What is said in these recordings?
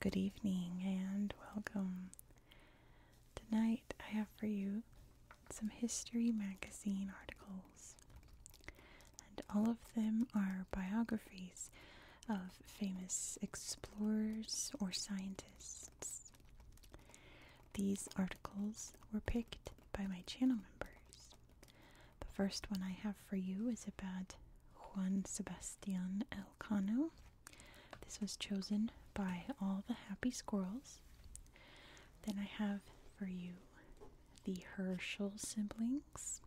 Good evening and welcome. Tonight I have for you some History Magazine articles. And all of them are biographies of famous explorers or scientists. These articles were picked by my channel members. The first one I have for you is about Juan Sebastian Elcano. This was chosen by all the happy squirrels. Then I have for you the Herschel siblings.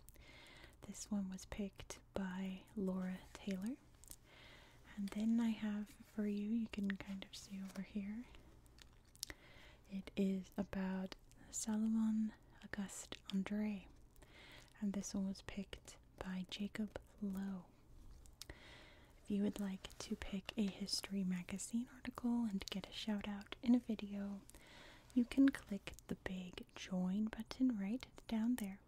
This one was picked by Laura Taylor. And then I have for you, you can kind of see over here. It is about Salomon Auguste Andre. And this one was picked by Jacob Lowe. If you would like to pick a history magazine article and get a shout out in a video, you can click the big join button right down there.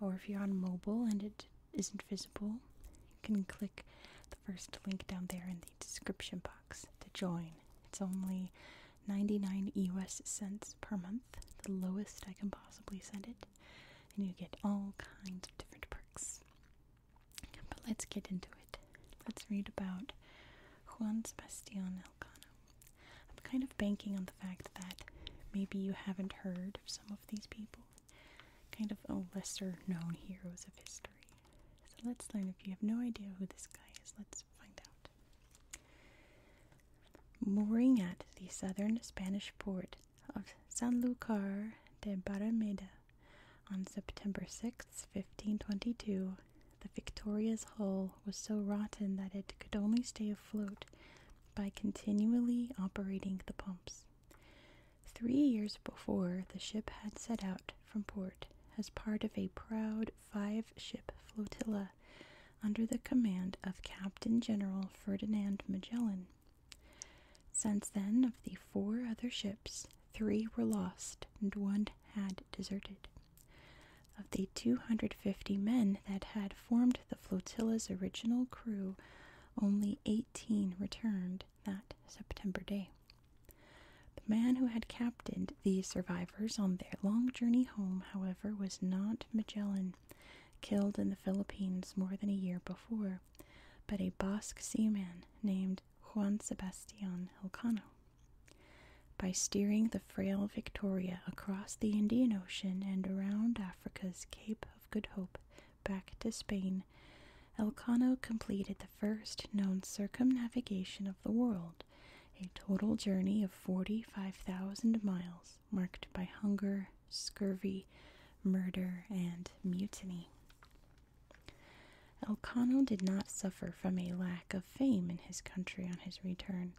Or if you're on mobile and it isn't visible, you can click the first link down there in the description box to join. It's only 99 US cents per month, the lowest I can possibly send it, and you get all kinds of different perks. But let's get into it. Let's read about Juan Sebastian I'm kind of banking on the fact that maybe you haven't heard of some of these people, kind of lesser known heroes of history. So let's learn if you have no idea who this guy is, let's find out. Mooring at the southern Spanish port of Sanlúcar de Barrameda on September sixth, 1522, the Victoria's hull was so rotten that it could only stay afloat by continually operating the pumps. Three years before, the ship had set out from port as part of a proud five ship flotilla under the command of Captain General Ferdinand Magellan. Since then, of the four other ships, three were lost and one had deserted. Of the 250 men that had formed the flotilla's original crew, only 18 returned that September day. The man who had captained the survivors on their long journey home, however, was not Magellan, killed in the Philippines more than a year before, but a Basque seaman named Juan Sebastian Elcano. By steering the frail Victoria across the Indian Ocean and around Africa's Cape of Good Hope back to Spain, Elcano completed the first known circumnavigation of the world, a total journey of 45,000 miles marked by hunger, scurvy, murder, and mutiny. Elcano did not suffer from a lack of fame in his country on his return.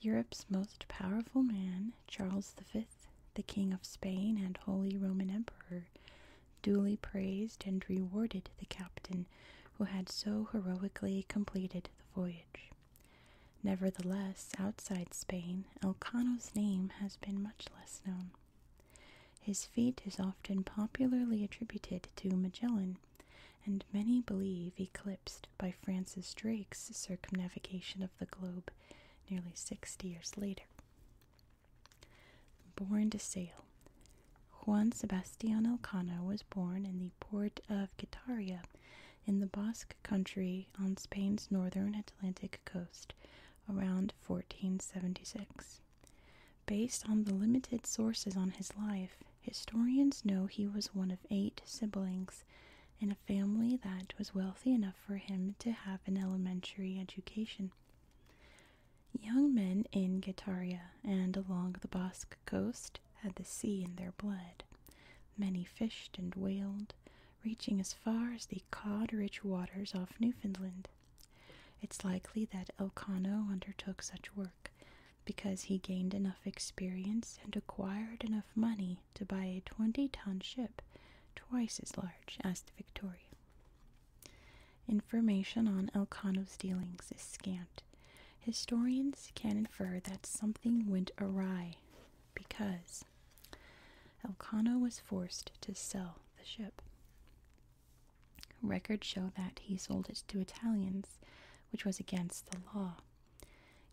Europe's most powerful man, Charles V, the King of Spain and Holy Roman Emperor, duly praised and rewarded the captain who had so heroically completed the voyage. Nevertheless, outside Spain, Elcano's name has been much less known. His feat is often popularly attributed to Magellan, and many believe eclipsed by Francis Drake's circumnavigation of the globe nearly 60 years later. Born to sail. Juan Sebastian Elcano was born in the port of Guitaria in the Basque country on Spain's northern Atlantic coast around 1476. Based on the limited sources on his life, historians know he was one of eight siblings in a family that was wealthy enough for him to have an elementary education. Young men in Getaria and along the Basque coast had the sea in their blood. Many fished and whaled, reaching as far as the cod rich waters off Newfoundland. It's likely that Elcano undertook such work because he gained enough experience and acquired enough money to buy a 20 ton ship twice as large as the Victoria. Information on Elcano's dealings is scant. Historians can infer that something went awry because Elcano was forced to sell the ship. Records show that he sold it to Italians, which was against the law.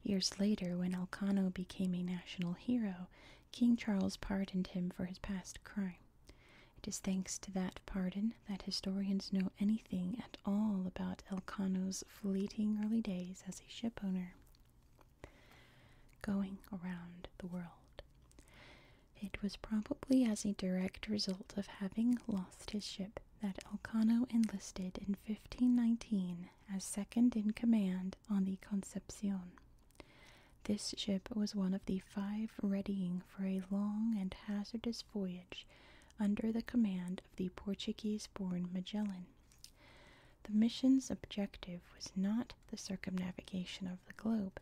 Years later, when Elcano became a national hero, King Charles pardoned him for his past crime. It is thanks to that pardon that historians know anything at all about Elcano's fleeting early days as a shipowner. Going around the world. It was probably as a direct result of having lost his ship that Elcano enlisted in 1519 as second in command on the Concepcion. This ship was one of the five readying for a long and hazardous voyage under the command of the Portuguese born Magellan. The mission's objective was not the circumnavigation of the globe,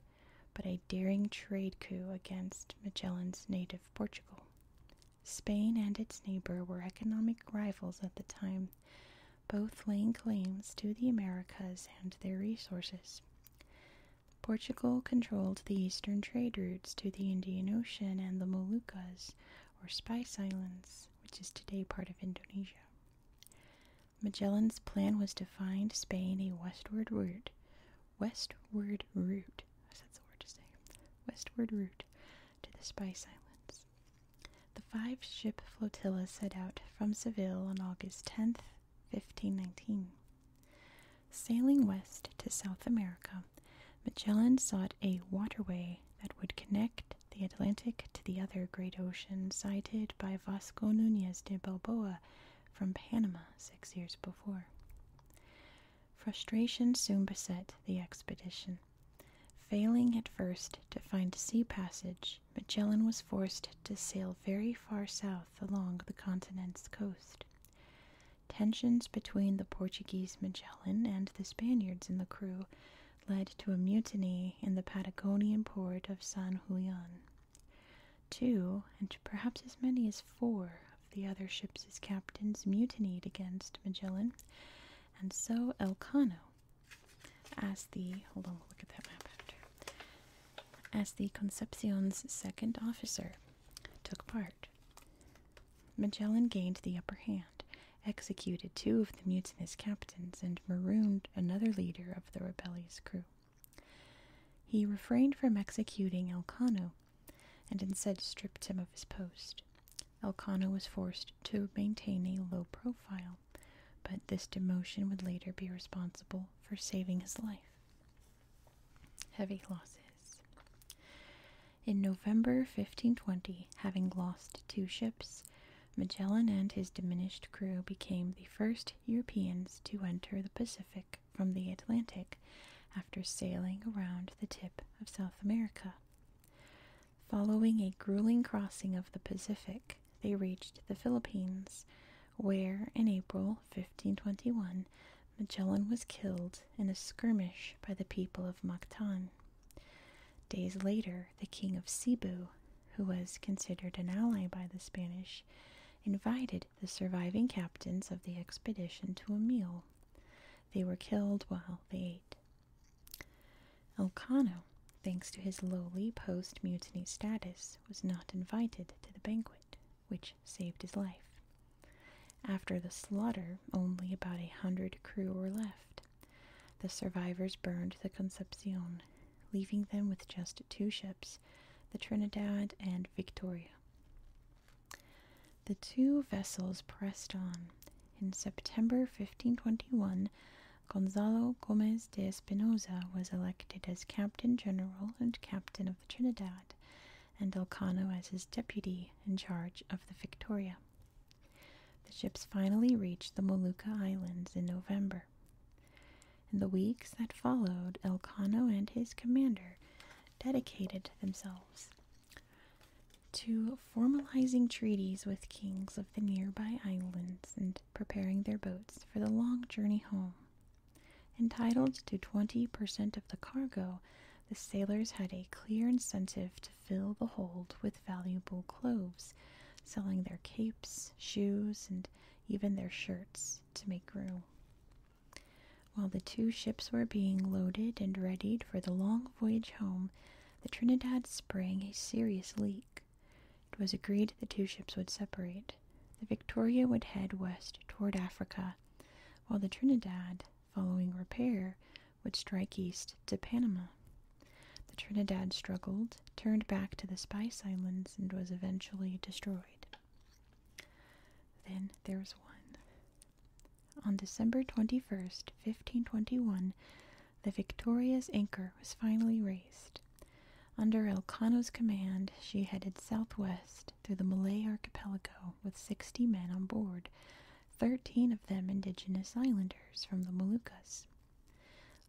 but a daring trade coup against Magellan's native Portugal. Spain and its neighbor were economic rivals at the time, both laying claims to the Americas and their resources. Portugal controlled the eastern trade routes to the Indian Ocean and the Moluccas, or Spice Islands, which is today part of Indonesia. Magellan's plan was to find Spain a westward route westward route. That's the word to say. Westward route to the Spice Islands. The five-ship flotilla set out from Seville on August 10th, 1519. Sailing west to South America, Magellan sought a waterway that would connect the Atlantic to the other great ocean sighted by Vasco Nunez de Balboa from Panama six years before. Frustration soon beset the expedition. Failing at first to find sea passage, Magellan was forced to sail very far south along the continent's coast. Tensions between the Portuguese Magellan and the Spaniards in the crew led to a mutiny in the Patagonian port of San Julian. Two, and perhaps as many as four, the other ships' captains mutinied against Magellan, and so Elcano, as the As the Concepcion's second officer, took part. Magellan gained the upper hand, executed two of the mutinous captains, and marooned another leader of the rebellious crew. He refrained from executing Elcano and instead stripped him of his post. Elkanah was forced to maintain a low profile, but this demotion would later be responsible for saving his life. Heavy losses. In November 1520, having lost two ships, Magellan and his diminished crew became the first Europeans to enter the Pacific from the Atlantic after sailing around the tip of South America. Following a grueling crossing of the Pacific, they reached the Philippines, where in April 1521 Magellan was killed in a skirmish by the people of Mactan. Days later, the king of Cebu, who was considered an ally by the Spanish, invited the surviving captains of the expedition to a meal. They were killed while they ate. Elcano, thanks to his lowly post mutiny status, was not invited to the banquet, which saved his life. After the slaughter, only about a hundred crew were left. The survivors burned the Concepcion, leaving them with just two ships, the Trinidad and Victoria. The two vessels pressed on. In September 1521, Gonzalo Gomez de Espinosa was elected as captain general and captain of the Trinidad, and Elcano as his deputy in charge of the Victoria. The ships finally reached the Molucca Islands in November. In the weeks that followed, Elcano and his commander dedicated themselves to formalizing treaties with kings of the nearby islands and preparing their boats for the long journey home. Entitled to 20% of the cargo, the sailors had a clear incentive to fill the hold with valuable clothes, selling their capes, shoes, and even their shirts to make room. While the two ships were being loaded and readied for the long voyage home, the Trinidad sprang a serious leak. It was agreed the two ships would separate. The Victoria would head west toward Africa, while the Trinidad, following repair, would strike east to Panama. The Trinidad struggled, turned back to the Spice Islands, and was eventually destroyed. Then there's one. On December 21, 1521, the Victoria's anchor was finally raised. Under Elcano's command, she headed southwest through the Malay archipelago with 60 men on board, 13 of them indigenous islanders from the Moluccas.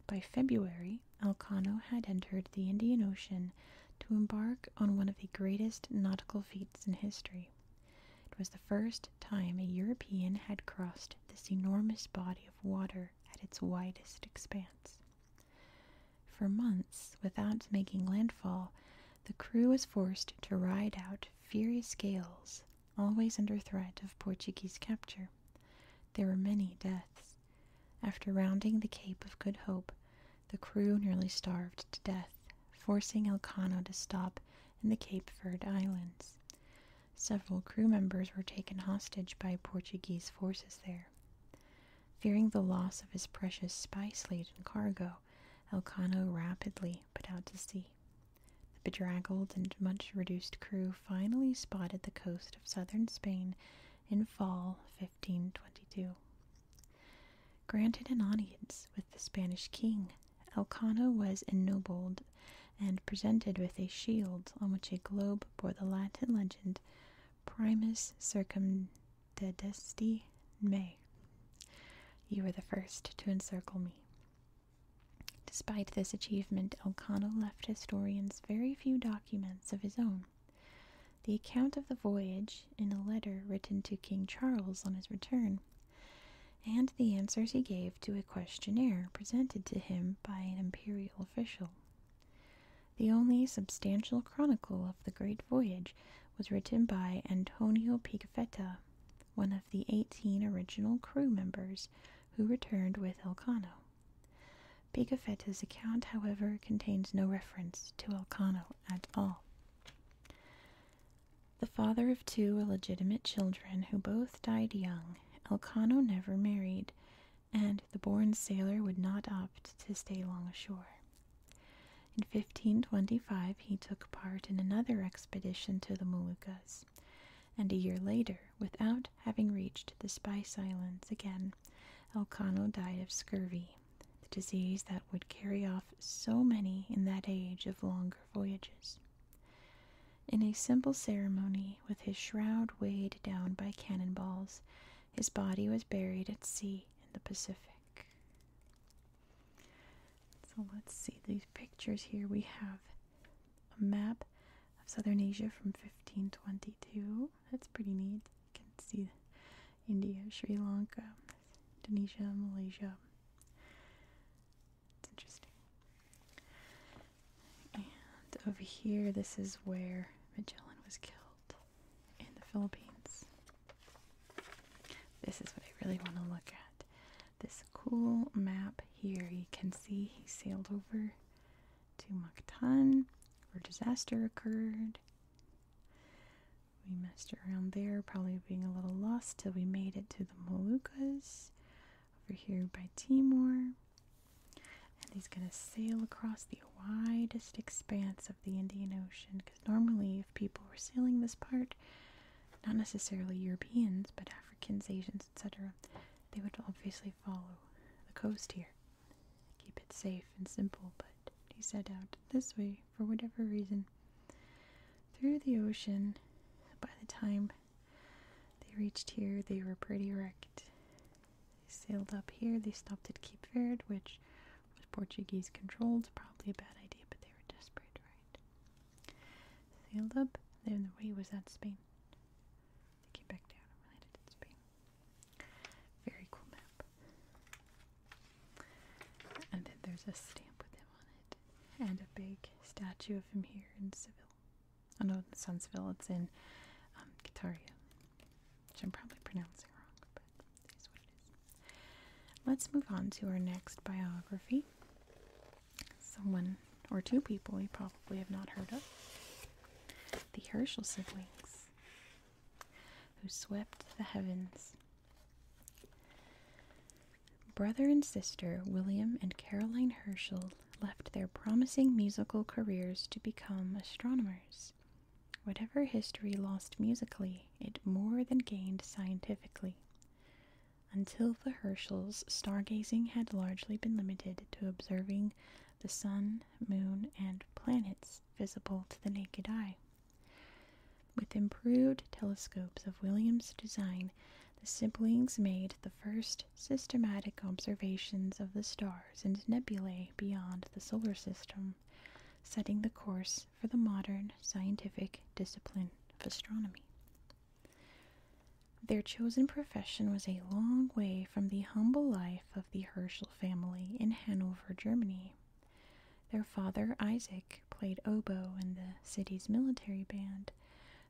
By February, Elcano had entered the Indian Ocean to embark on one of the greatest nautical feats in history. It was the first time a European had crossed this enormous body of water at its widest expanse. For months, without making landfall, the crew was forced to ride out furious gales, always under threat of Portuguese capture. There were many deaths. After rounding the Cape of Good Hope, the crew nearly starved to death, forcing Elcano to stop in the Cape Verde Islands. Several crew members were taken hostage by Portuguese forces there. Fearing the loss of his precious spice laden cargo, Elcano rapidly put out to sea. The bedraggled and much reduced crew finally spotted the coast of southern Spain in fall 1522. Granted an audience with the Spanish king, Elcano was ennobled and presented with a shield on which a globe bore the Latin legend Primus circumdedesti me. You were the first to encircle me. Despite this achievement, Elcano left historians very few documents of his own the account of the voyage in a letter written to King Charles on his return, and the answers he gave to a questionnaire presented to him by an imperial official. The only substantial chronicle of the great voyage was written by Antonio Pigafetta, one of the eighteen original crew members who returned with Elcano. Pigafetta's account, however, contains no reference to Elcano at all. The father of two illegitimate children who both died young, Elcano never married, and the born sailor would not opt to stay long ashore. In 1525, he took part in another expedition to the Moluccas, and a year later, without having reached the Spice Islands again, Elcano died of scurvy the disease that would carry off so many in that age of longer voyages. In a simple ceremony, with his shroud weighed down by cannonballs, his body was buried at sea in the Pacific. So let's see these pictures here. We have a map of southern Asia from 1522. That's pretty neat. You can see India, Sri Lanka, Indonesia, Malaysia. It's interesting. And over here, this is where Magellan was killed in the Philippines. This is what I really want to look at. This cool map here, you can see he sailed over to Mactan where disaster occurred. We messed around there, probably being a little lost till we made it to the Moluccas over here by Timor. And he's going to sail across the widest expanse of the Indian Ocean because normally, if people were sailing this part, not necessarily Europeans, but Africans, Asians, etc., they would obviously follow the coast here. Keep it safe and simple, but he set out this way for whatever reason through the ocean. By the time they reached here, they were pretty wrecked. They sailed up here, they stopped at Cape Verde, which was Portuguese controlled, probably a bad idea, but they were desperate, right? Sailed up, then the way was that Spain. They came back down and landed Spain. Very cool map. And then there's a stamp with him on it. And a big statue of him here in Seville. Oh no, it's not Seville, it's in Qataria, um, Which I'm probably pronouncing wrong, but it is what it is. Let's move on to our next biography. Someone or two people we probably have not heard of. The Herschel siblings, who swept the heavens Brother and sister William and Caroline Herschel left their promising musical careers to become astronomers. Whatever history lost musically, it more than gained scientifically. Until the Herschels, stargazing had largely been limited to observing the sun, moon, and planets visible to the naked eye. With improved telescopes of William's design, the siblings made the first systematic observations of the stars and nebulae beyond the solar system, setting the course for the modern scientific discipline of astronomy. Their chosen profession was a long way from the humble life of the Herschel family in Hanover, Germany. Their father, Isaac, played oboe in the city's military band,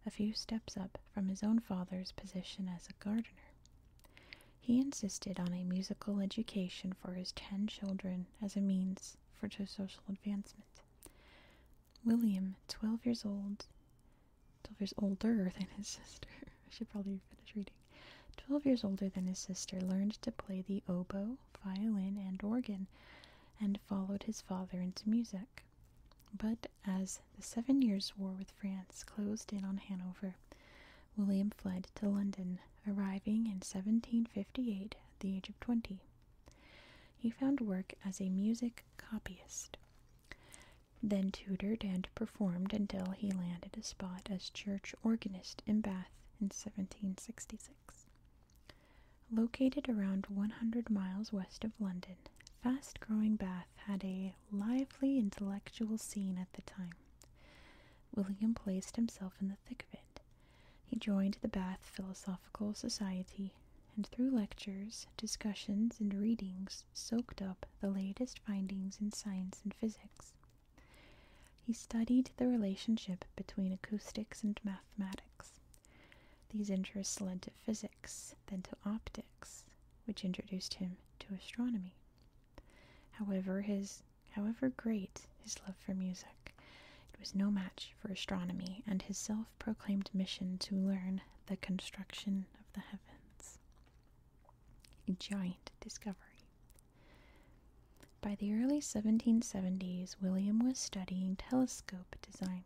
a few steps up from his own father's position as a gardener. He insisted on a musical education for his ten children as a means for social advancement. William, 12 years old, 12 years older than his sister, should probably finish reading, 12 years older than his sister, learned to play the oboe, violin, and organ, and followed his father into music. But as the Seven Years' War with France closed in on Hanover, William fled to London, arriving in 1758 at the age of 20. He found work as a music copyist, then tutored and performed until he landed a spot as church organist in Bath in 1766. Located around 100 miles west of London, fast growing Bath had a lively intellectual scene at the time. William placed himself in the thick of it. He joined the Bath Philosophical Society and, through lectures, discussions, and readings, soaked up the latest findings in science and physics. He studied the relationship between acoustics and mathematics. These interests led to physics, then to optics, which introduced him to astronomy. However, his however great his love for music, it was no match for astronomy and his self-proclaimed mission to learn the construction of the heavens. A giant discovery. By the early 1770s, William was studying telescope design.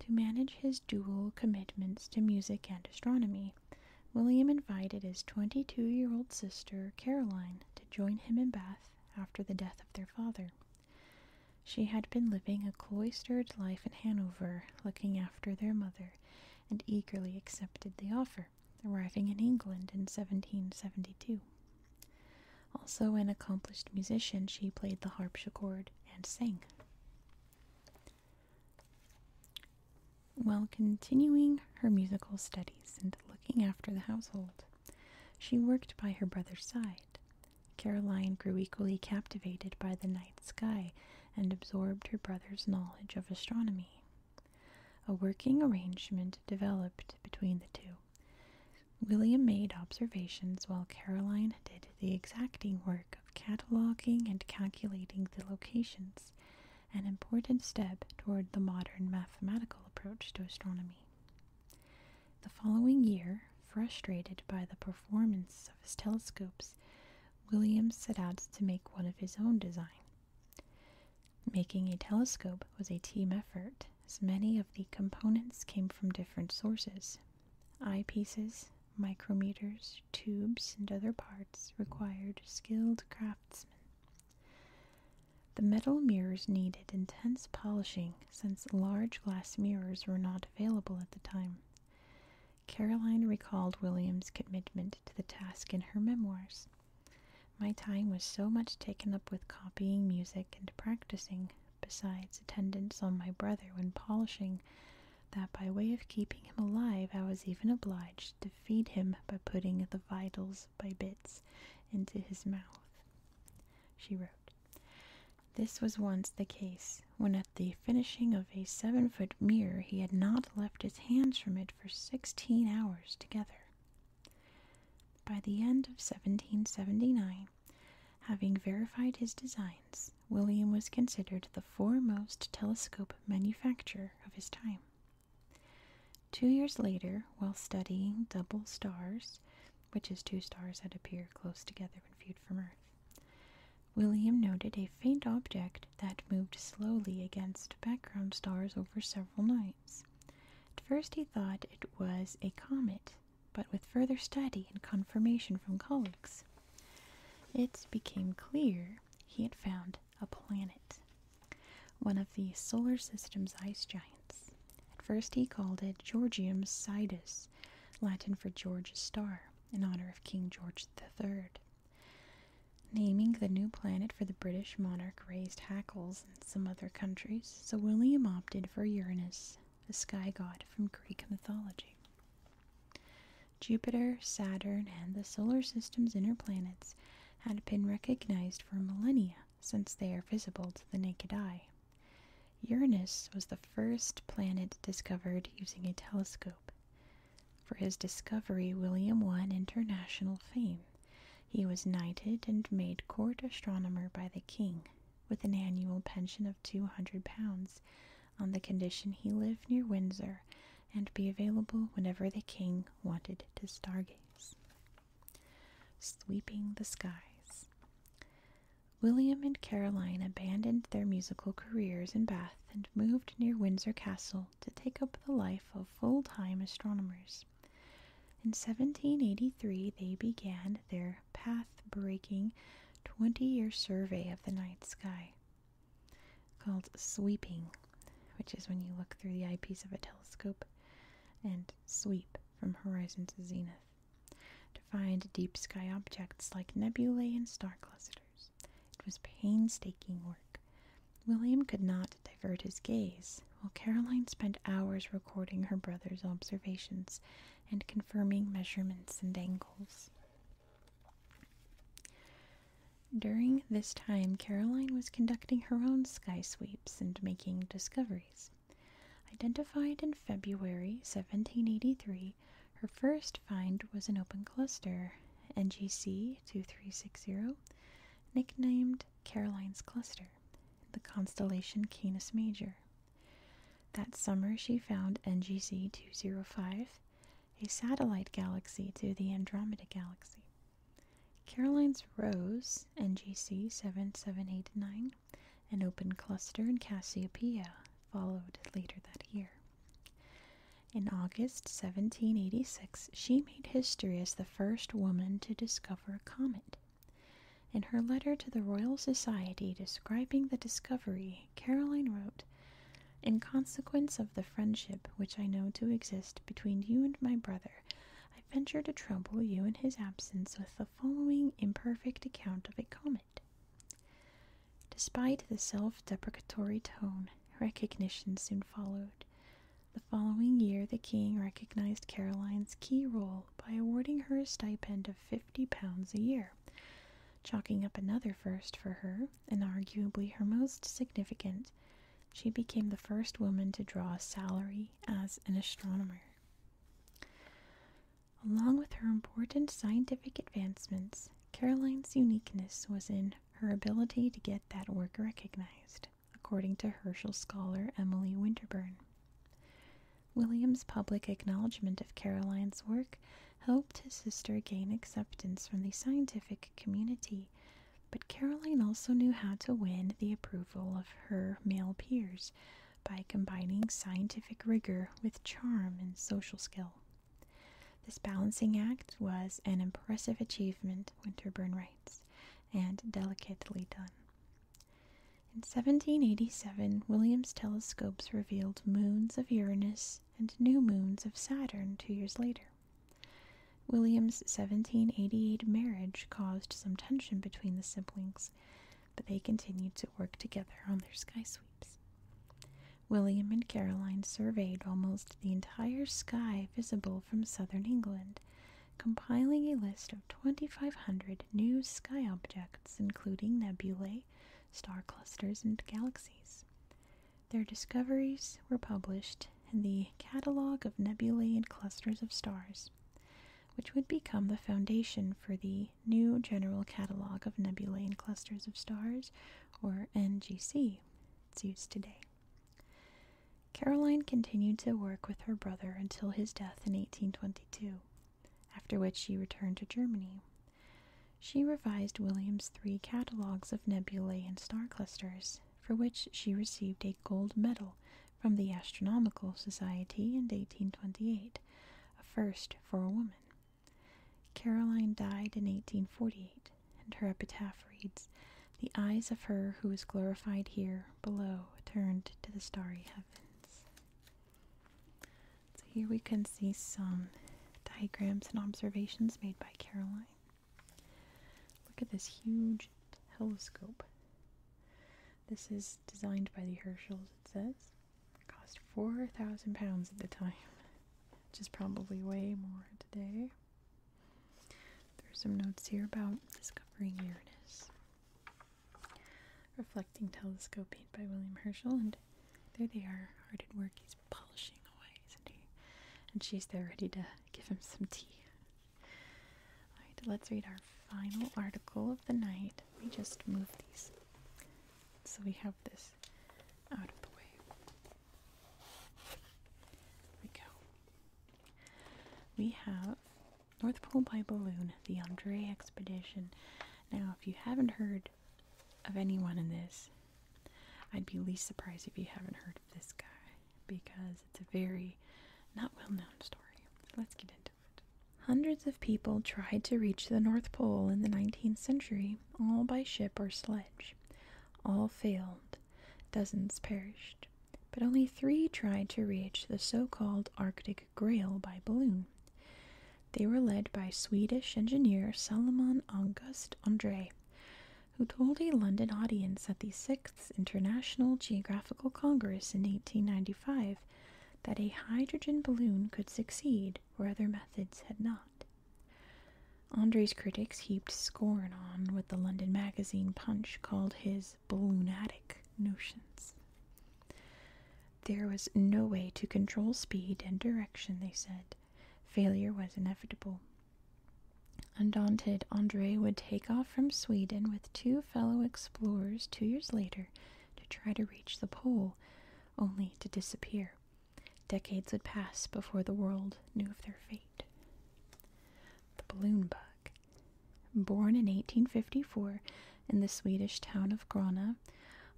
To manage his dual commitments to music and astronomy, William invited his 22 year old sister, Caroline, to join him in Bath after the death of their father. She had been living a cloistered life in Hanover, looking after their mother, and eagerly accepted the offer arriving in England in 1772. Also an accomplished musician, she played the harpsichord and sang. While continuing her musical studies and looking after the household, she worked by her brother's side. Caroline grew equally captivated by the night sky and absorbed her brother's knowledge of astronomy. A working arrangement developed between the two. William made observations while Caroline did the exacting work of cataloging and calculating the locations, an important step toward the modern mathematical approach to astronomy. The following year, frustrated by the performance of his telescopes, William set out to make one of his own design. Making a telescope was a team effort, as many of the components came from different sources. Eyepieces, micrometers, tubes, and other parts required skilled craftsmen. The metal mirrors needed intense polishing since large glass mirrors were not available at the time. Caroline recalled William's commitment to the task in her memoirs. My time was so much taken up with copying music and practicing, besides attendance on my brother when polishing, that by way of keeping him alive I was even obliged to feed him by putting the vitals by bits into his mouth. She wrote, This was once the case, when at the finishing of a seven foot mirror he had not left his hands from it for sixteen hours together. By the end of 1779, having verified his designs, William was considered the foremost telescope manufacturer of his time. Two years later, while studying double stars, which is two stars that appear close together when viewed from Earth, William noted a faint object that moved slowly against background stars over several nights. At first he thought it was a comet, but with further study and confirmation from colleagues, it became clear he had found a planet, one of the solar system's ice giants. At first he called it Georgium Sidus, Latin for George's star, in honor of King George III. Naming the new planet for the British monarch raised hackles in some other countries, so William opted for Uranus, the sky god from Greek mythology. Jupiter, Saturn, and the solar system's inner planets had been recognized for millennia since they are visible to the naked eye. Uranus was the first planet discovered using a telescope. For his discovery, William won international fame. He was knighted and made court astronomer by the king, with an annual pension of two hundred pounds, on the condition he lived near Windsor and be available whenever the king wanted to stargaze. Sweeping the skies. William and Caroline abandoned their musical careers in Bath and moved near Windsor Castle to take up the life of full time astronomers. In 1783, they began their path breaking 20 year survey of the night sky called sweeping, which is when you look through the eyepiece of a telescope, and sweep from horizon to zenith to find deep sky objects like nebulae and star clusters. It was painstaking work William could not divert his gaze, while Caroline spent hours recording her brother's observations and confirming measurements and angles. During this time, Caroline was conducting her own sky sweeps and making discoveries. Identified in February 1783, her first find was an open cluster, NGC 2360, nicknamed Caroline's cluster, the constellation Canis Major. That summer, she found NGC 205, a satellite galaxy to the Andromeda Galaxy. Caroline's Rose, NGC 7789, an open cluster in Cassiopeia, followed later that year. In August 1786, she history as the first woman to discover a comet. In her letter to the Royal Society describing the discovery, Caroline wrote, In consequence of the friendship which I know to exist between you and my brother, I venture to trouble you in his absence with the following imperfect account of a comet. Despite the self deprecatory tone, recognition soon followed. The following year, the king recognized Caroline's key role by awarding her a stipend of fifty pounds a year, chalking up another first for her, and arguably her most significant. She became the first woman to draw a salary as an astronomer. Along with her important scientific advancements, Caroline's uniqueness was in her ability to get that work recognized according to Herschel scholar Emily Winterburn. William's public acknowledgement of Caroline's work helped his sister gain acceptance from the scientific community, but Caroline also knew how to win the approval of her male peers by combining scientific rigor with charm and social skill. This balancing act was an impressive achievement, Winterburn writes and delicately done. In 1787, Williams' telescopes revealed moons of Uranus and new moons of Saturn two years later. Williams' 1788 marriage caused some tension between the siblings, but they continued to work together on their sky sweeps. William and Caroline surveyed almost the entire sky visible from southern England, compiling a list of 2,500 new sky objects, including nebulae, star clusters, and galaxies. Their discoveries were published in the Catalogue of Nebulae and Clusters of Stars, which would become the foundation for the new General Catalogue of Nebulae and Clusters of Stars, or NGC, it's used today. Caroline continued to work with her brother until his death in 1822, after which she returned to Germany. She revised Williams' three catalogues of nebulae and star clusters, for which she received a gold medal from the Astronomical Society in 1828, a first for a woman. Caroline died in 1848, and her epitaph reads The eyes of her who was glorified here below turned to the starry heavens. So here we can see some diagrams and observations made by Caroline. Look at this huge telescope. This is designed by the Herschels, it says. cost 4,000 pounds at the time, which is probably way more today. There's some notes here about discovering Uranus. Reflecting Telescope painted by William Herschel, and there they are, hard at work. He's polishing away, isn't he? And she's there ready to give him some tea. Alright, let's read our final article of the night. Let me just move these so we have this out of the way. There we go. We have North Pole by Balloon, the Andre Expedition. Now, if you haven't heard of anyone in this, I'd be least surprised if you haven't heard of this guy because it's a very not well known story. Let's get into it. Hundreds of people tried to reach the North Pole in the 19th century, all by ship or sledge. All failed. Dozens perished, but only three tried to reach the so called Arctic Grail by balloon. They were led by Swedish engineer Salomon August André, who told a London audience at the Sixth International Geographical Congress in 1895 that a hydrogen balloon could succeed where other methods had not. Andre's critics heaped scorn on what the London magazine Punch called his balloonatic notions. There was no way to control speed and direction, they said. Failure was inevitable. Undaunted, Andre would take off from Sweden with two fellow explorers two years later to try to reach the pole, only to disappear. Decades would pass before the world knew of their fate. The balloon bug. Born in 1854 in the Swedish town of Grana,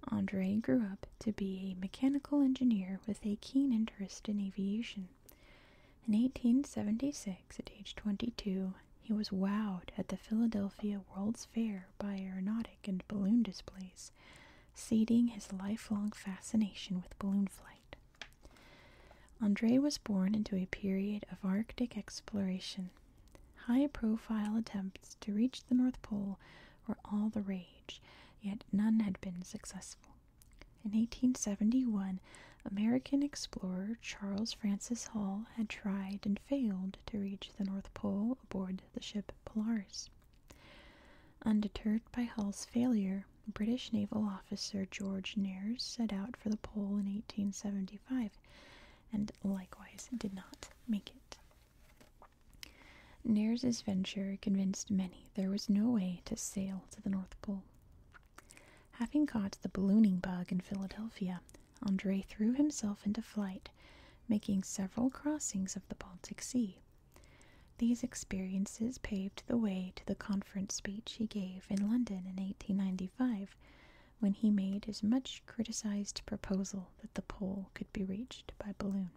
Andre grew up to be a mechanical engineer with a keen interest in aviation. In 1876, at age 22, he was wowed at the Philadelphia World's Fair by aeronautic and balloon displays, seeding his lifelong fascination with balloon flight. Andre was born into a period of Arctic exploration. High profile attempts to reach the North Pole were all the rage, yet none had been successful. In 1871, American explorer Charles Francis Hall had tried and failed to reach the North Pole aboard the ship Polaris. Undeterred by Hall's failure, British naval officer George Nares set out for the pole in 1875 and likewise did not make it. Nares's venture convinced many there was no way to sail to the North Pole. Having caught the ballooning bug in Philadelphia, Andre threw himself into flight, making several crossings of the Baltic Sea. These experiences paved the way to the conference speech he gave in London in 1895 when he made his much criticized proposal that the pole could be reached by balloon.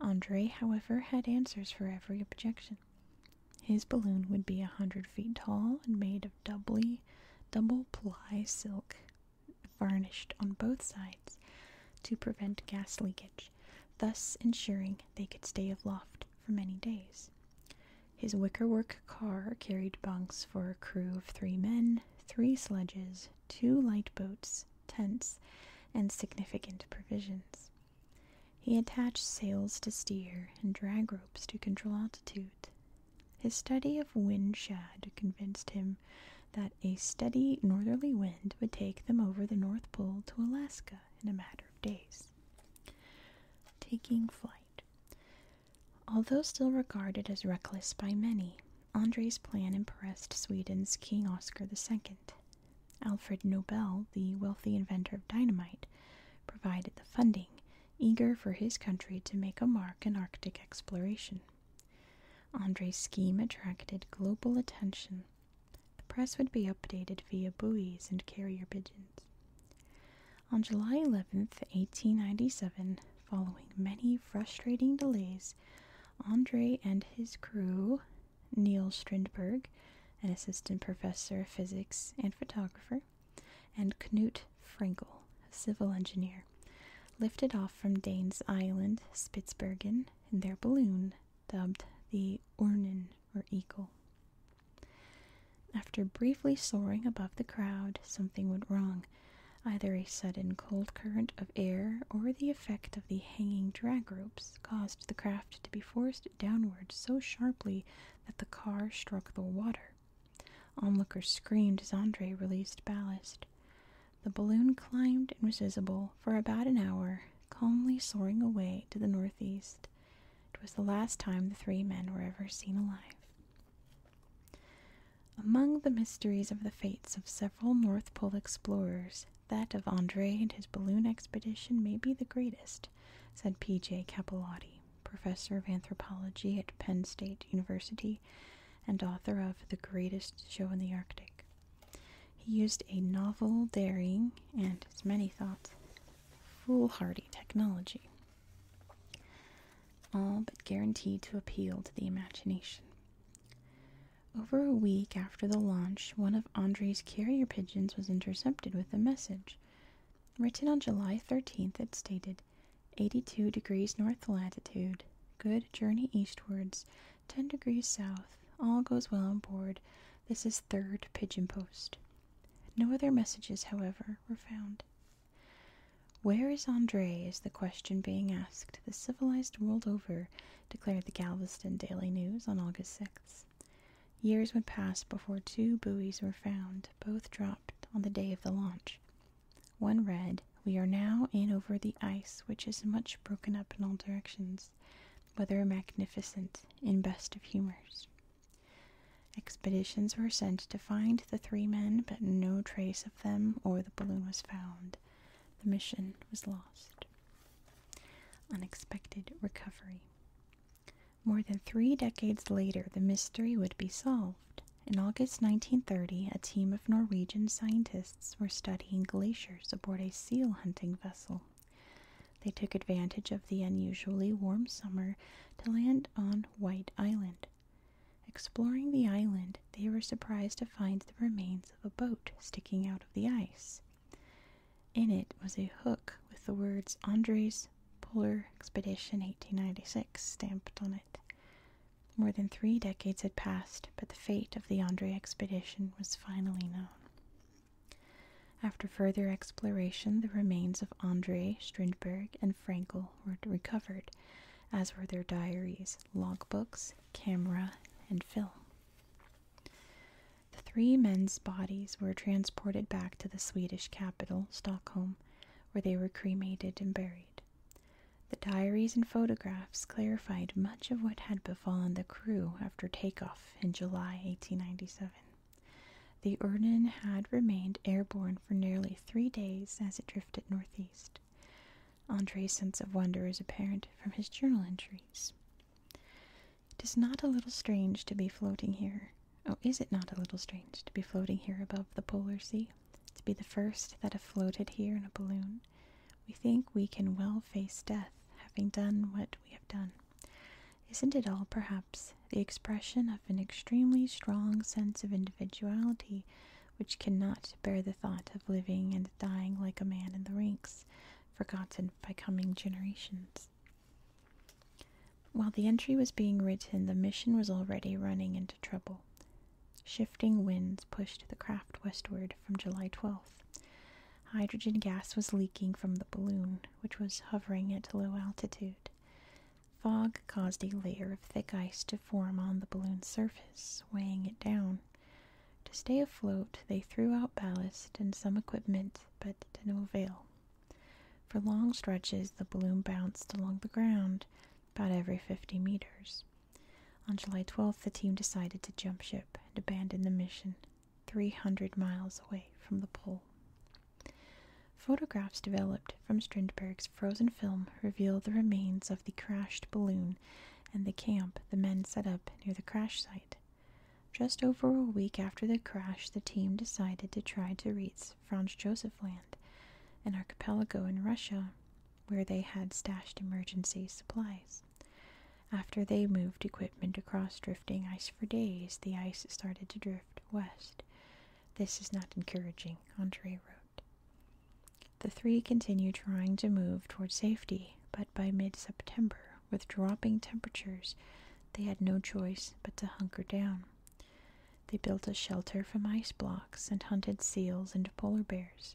Andre, however, had answers for every objection. His balloon would be a hundred feet tall and made of doubly double ply silk varnished on both sides to prevent gas leakage, thus ensuring they could stay aloft for many days. His wickerwork car carried bunks for a crew of three men, three sledges, two light boats, tents, and significant provisions. He attached sails to steer and drag ropes to control altitude. His study of wind convinced him that a steady northerly wind would take them over the North Pole to Alaska in a matter of days. Taking flight. Although still regarded as reckless by many, Andre's plan impressed Sweden's King Oscar II. Alfred Nobel, the wealthy inventor of dynamite, provided the funding, eager for his country to make a mark in Arctic exploration. Andre's scheme attracted global attention, the press would be updated via buoys and carrier pigeons. On July 11, 1897, following many frustrating delays, Andre and his crew, Neil Strindberg, an assistant professor of physics and photographer, and Knut Frankel, a civil engineer, lifted off from Danes Island, Spitsbergen, in their balloon dubbed the Ornen or eagle. After briefly soaring above the crowd, something went wrong either a sudden cold current of air or the effect of the hanging drag ropes caused the craft to be forced downward so sharply that the car struck the water. Onlookers screamed as Andre released ballast. The balloon climbed and was visible for about an hour calmly soaring away to the northeast. It was the last time the three men were ever seen alive. Among the mysteries of the fates of several North Pole explorers, that of Andre and his balloon expedition may be the greatest, said P. J. Capellotti, professor of anthropology at Penn State University and author of The Greatest Show in the Arctic. He used a novel, daring, and, as many thought, foolhardy technology, all but guaranteed to appeal to the imagination. Over a week after the launch, one of Andre's carrier pigeons was intercepted with a message. Written on July 13th, it stated 82 degrees north latitude, good journey eastwards, 10 degrees south, all goes well on board, this is third pigeon post. No other messages, however, were found. Where is Andre is the question being asked the civilized world over, declared the Galveston Daily News on August 6th. Years would pass before two buoys were found, both dropped on the day of the launch. One read, We are now in over the ice, which is much broken up in all directions humors, whether magnificent in best of humors. Expeditions were sent to find the three men, but no trace of them or the balloon was found. The mission was lost. Unexpected recovery. More than three decades later, the mystery would be solved. In August 1930, a team of Norwegian scientists were studying glaciers aboard a seal hunting vessel. They took advantage of the unusually warm summer to land on White Island. Exploring the island, they were surprised to find the remains of a boat sticking out of the ice. In it was a hook with the words "Andrei's Polar Expedition 1896 stamped on it. More than three decades had passed, but the fate of the Andrei expedition was finally known. After further exploration, the remains of André Strindberg and Frankel were recovered, as were their diaries, logbooks, camera, and film. The three men's bodies were transported back to the Swedish capital, Stockholm, where they were cremated and buried. The diaries and photographs clarified much of what had befallen the crew after takeoff in July 1897. The Erden had remained airborne for nearly three days as it drifted northeast. Andre's sense of wonder is apparent from his journal entries. It is not a little strange to be floating here. Oh, is it not a little strange to be floating here above the polar sea? To be the first that have floated here in a balloon? We think we can well face death, having done what we have done. Isn't it all, perhaps, the expression of an extremely strong sense of individuality which cannot bear the thought of living and dying like a man in the ranks, forgotten by coming generations? While the entry was being written, the mission was already running into trouble. Shifting winds pushed the craft westward from July 12th. Hydrogen gas was leaking from the balloon, which was hovering at low altitude. Fog caused a layer of thick ice to form on the balloon's surface, weighing it down. To stay afloat, they threw out ballast and some equipment, but to no avail. For long stretches, the balloon bounced along the ground about every 50 meters. On July 12th, the team decided to jump ship and abandon the mission. 300 miles away from the pole. Photographs developed from Strindberg's frozen film reveal the remains of the crashed balloon and the camp the men set up near the crash site. Just over a week after the crash, the team decided to try to reach Franz Josef Land, an archipelago in Russia where they had stashed emergency supplies. After they moved equipment across drifting ice for days, the ice started to drift west. This is not encouraging, Andre wrote. The three continued trying to move toward safety, but by mid September, with dropping temperatures, they had no choice but to hunker down. They built a shelter from ice blocks and hunted seals and polar bears.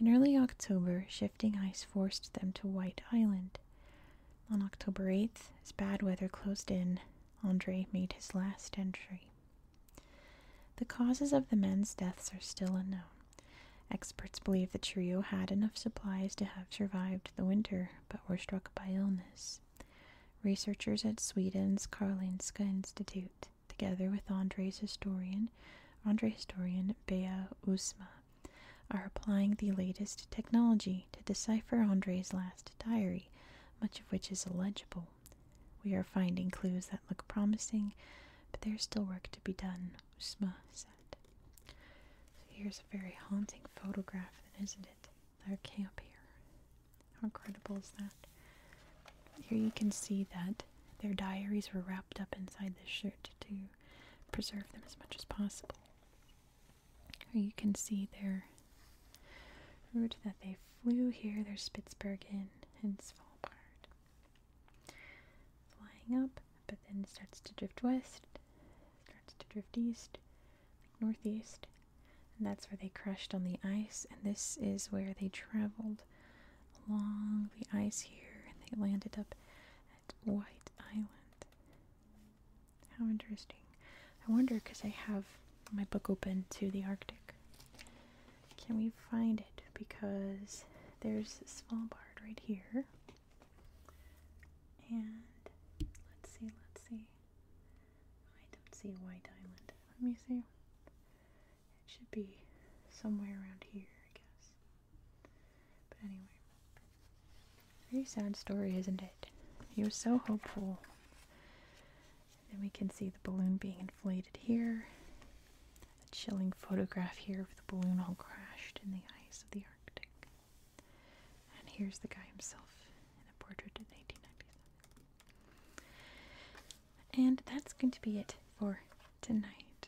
In early October, shifting ice forced them to White Island. On October 8th, as bad weather closed in, Andre made his last entry. The causes of the men's deaths are still unknown. Experts believe the trio had enough supplies to have survived the winter, but were struck by illness. Researchers at Sweden's Karolinska Institute, together with Andre's historian, Andre historian Bea Usma, are applying the latest technology to decipher Andre's last diary, much of which is illegible. We are finding clues that look promising, but there's still work to be done, Usma said. here's a very haunting photograph, isn't it? Our camp here. How incredible is that? Here you can see that their diaries were wrapped up inside this shirt, too preserve them as much as possible. You can see their route that they flew here, their Spitsbergen, and Svalbard. Flying up, but then starts to drift west, starts to drift east, northeast, and that's where they crashed on the ice, and this is where they traveled along the ice here, and they landed up White Island. How interesting. I wonder because I have my book open to the Arctic. Can we find it? Because there's Svalbard right here. And let's see, let's see. I don't see White Island. Let me see. It should be somewhere around here, I guess. But anyway, very sad story, isn't it? He was so hopeful. Then we can see the balloon being inflated here. A chilling photograph here of the balloon all crashed in the ice of the Arctic. And here's the guy himself in a portrait in 1897. And that's going to be it for tonight.